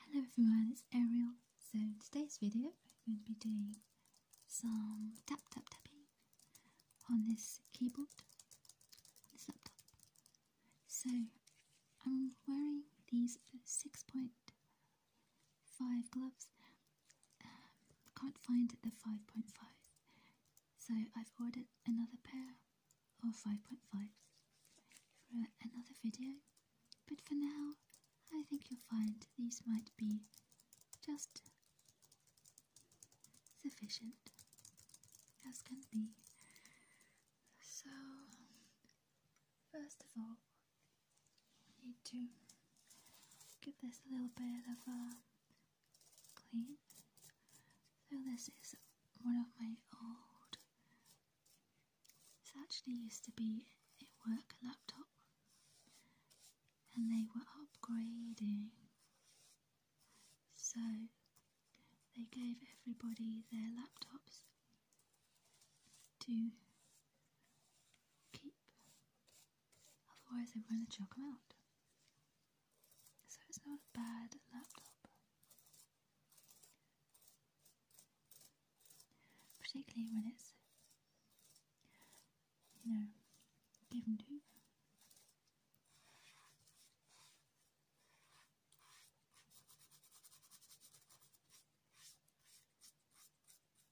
Hello everyone, it's Ariel. So in today's video I'm going to be doing some tap tap tapping on this keyboard, on this laptop. So I'm wearing these 6.5 gloves. Um, can't find the 5.5 so I've ordered another pair or 5.5 for another video. But for now, I think you'll find these might be just sufficient as can be. So, first of all, I need to give this a little bit of a uh, clean. So, this is one of my old it's actually used to be a work laptop, and they were upgrading, so they gave everybody their laptops to keep, otherwise, they were going to chuck them out. So it's not a bad laptop particularly when it's you know given to you.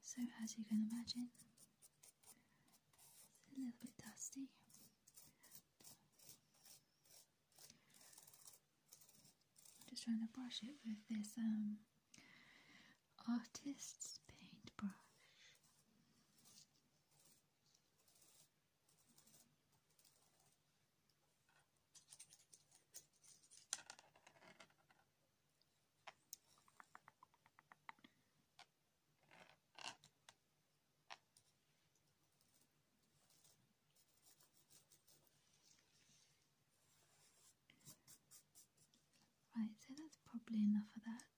So as you can imagine, a little bit dusty. I'm just trying to brush it with this um, artist's paintbrush. Right, so that's probably enough of that.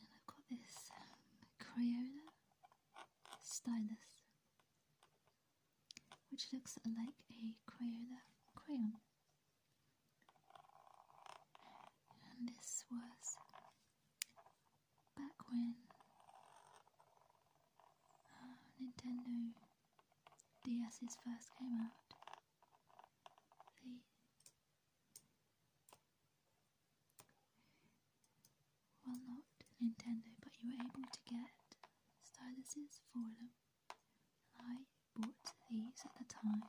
I've got this um, Crayola stylus, which looks like a Crayola crayon. And this was back when uh, Nintendo DS's first came out, well not Nintendo, but you were able to get styluses for them. I bought these at the time.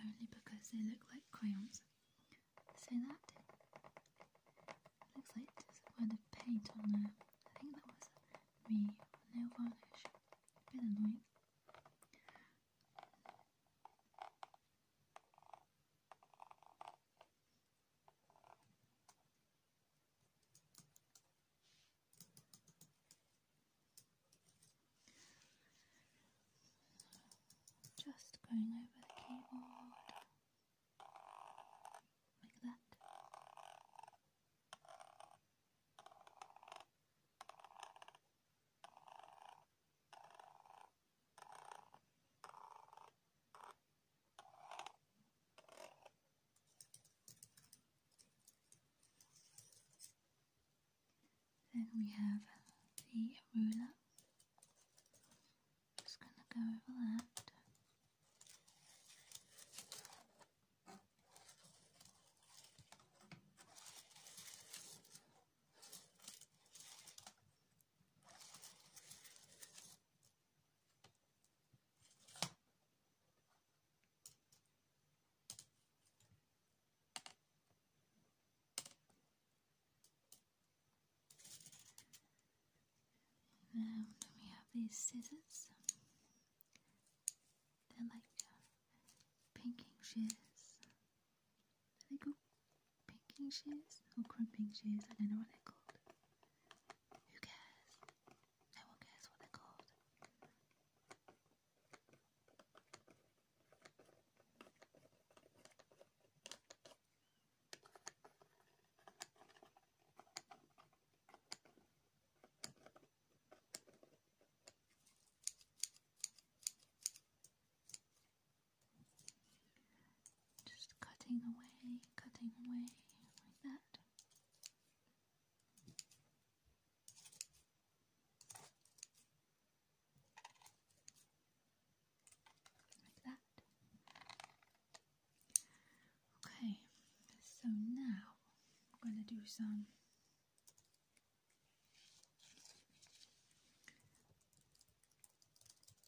Only because they look like crayons. So that looks like there's a quite of paint on there. I think that was me nail varnish. bit annoying. Just going over the keyboard like that. Then we have the ruler. Just going to go over that. And um, we have these scissors. They're like uh, pinking shears. Are they called pinking shears or crimping shears? I don't know what they're called. Who cares? I will guess what they called. Just cutting away, cutting away like that. Okay, so now I'm going to do some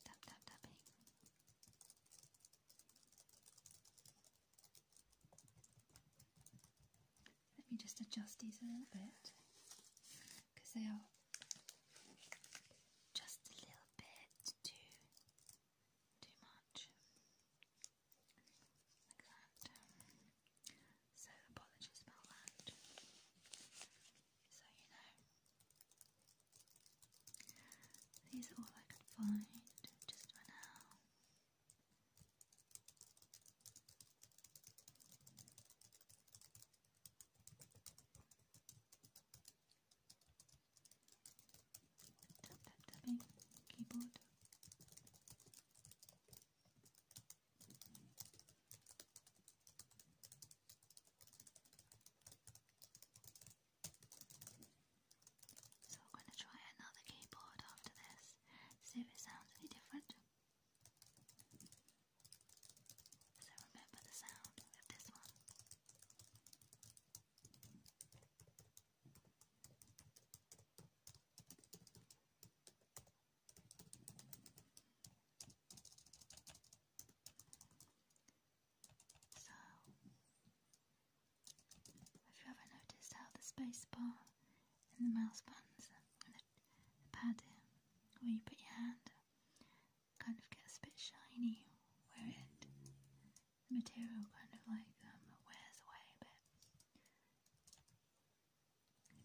tap tap tapping. Let me just adjust these a little bit because they are just a little bit too too much like that. So apologies about that. So you know. These are all I could find just for now. Tap tap tapping keyboard. So I'm going to try another keyboard after this, see if it sounds any different. So remember the sound of this one. So, have you ever noticed how the space bar and the mouse buttons and the, pad where you put your hand kind of gets a bit shiny where it the material kind of like um, wears away a bit.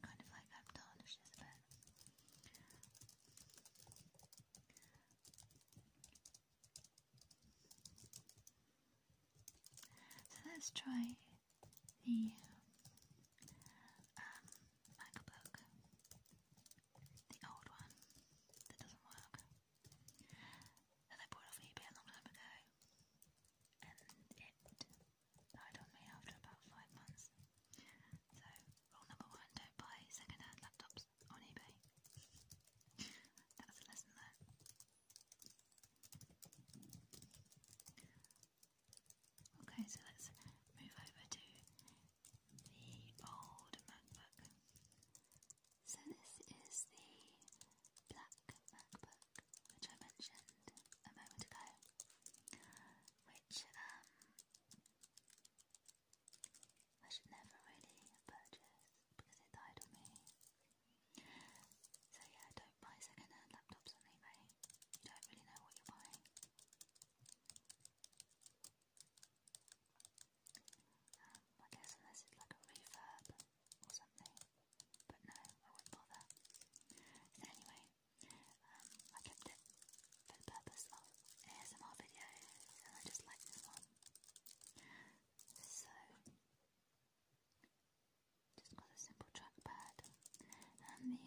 Kind of like that a bit. So let's try the um, MacBook, the old one that doesn't work, that I bought off eBay a long time ago, and it died on me after about five months. So, rule number one don't buy second hand laptops on eBay. That's lesson there. Okay, so let's move over to the old MacBook. So this is the black MacBook, which I mentioned a moment ago, which um, I should never really have because it died on me. So yeah, don't buy second-hand laptops on eBay. You don't really know what you're buying. Um, I guess unless it's like a refurb or something. But no, I wouldn't bother. anyway, um, I kept it for the purpose of ASMR videos and I just like this one. So, just got a simple trackpad and the um,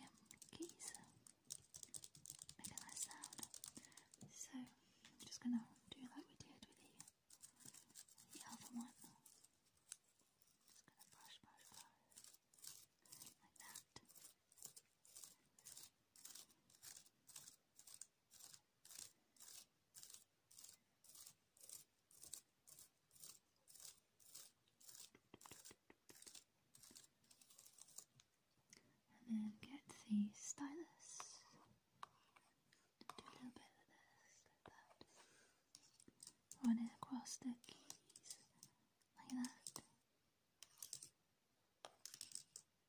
keys make a nice sound. So, I'm just going to do like we did with the, other one. going to brush, brush, brush like that. And then get the stylus. Do a little bit of this, like that. Run it across the keys, like that.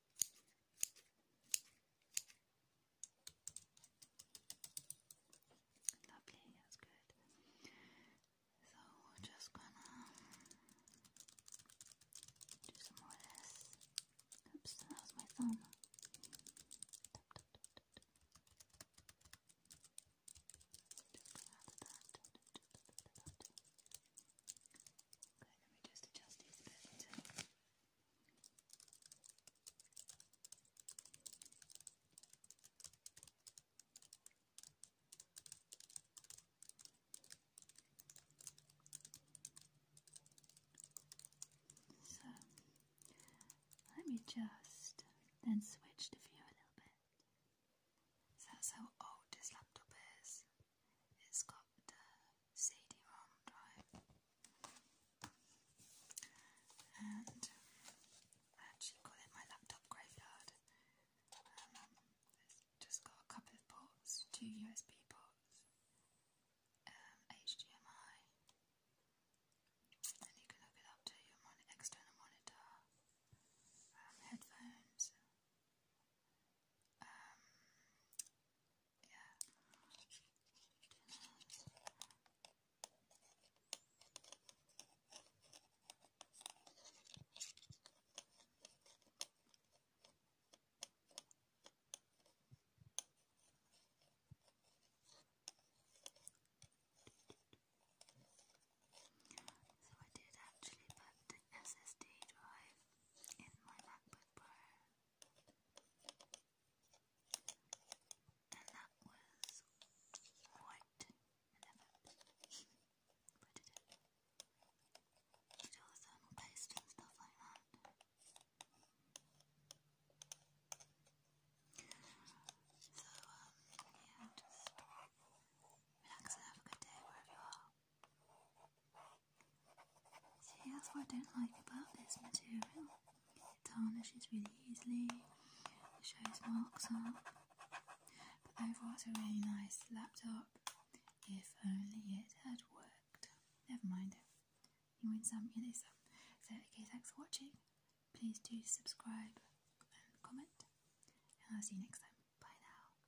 Lovely, that's good. So we're just gonna do some more of this. Oops, that my thumb. Okay, let me just adjust these a bit. So let me just then switch the view a little bit. that's how old this laptop is. It's got the CD-ROM drive, and I actually call it my laptop graveyard. Um, it's just got a couple of ports, two USB ports, um, HDMI, and you can hook it up to your external monitor, um, headphones. Yeah. So I did actually put the SSD drive in my MacBook Pro, and that was quite an effort. I did it. Did all the thermal paste and stuff like that. So, yeah, just relax and have a good day wherever you See, that's what I don't like about this material. It tarnishes really easily, it shows marks up. But overall, it's a really nice laptop. If only it had worked. Never mind. You win some, you lose some. So, okay, thanks for watching. Please do subscribe and comment. And I'll see you next time. Bye now.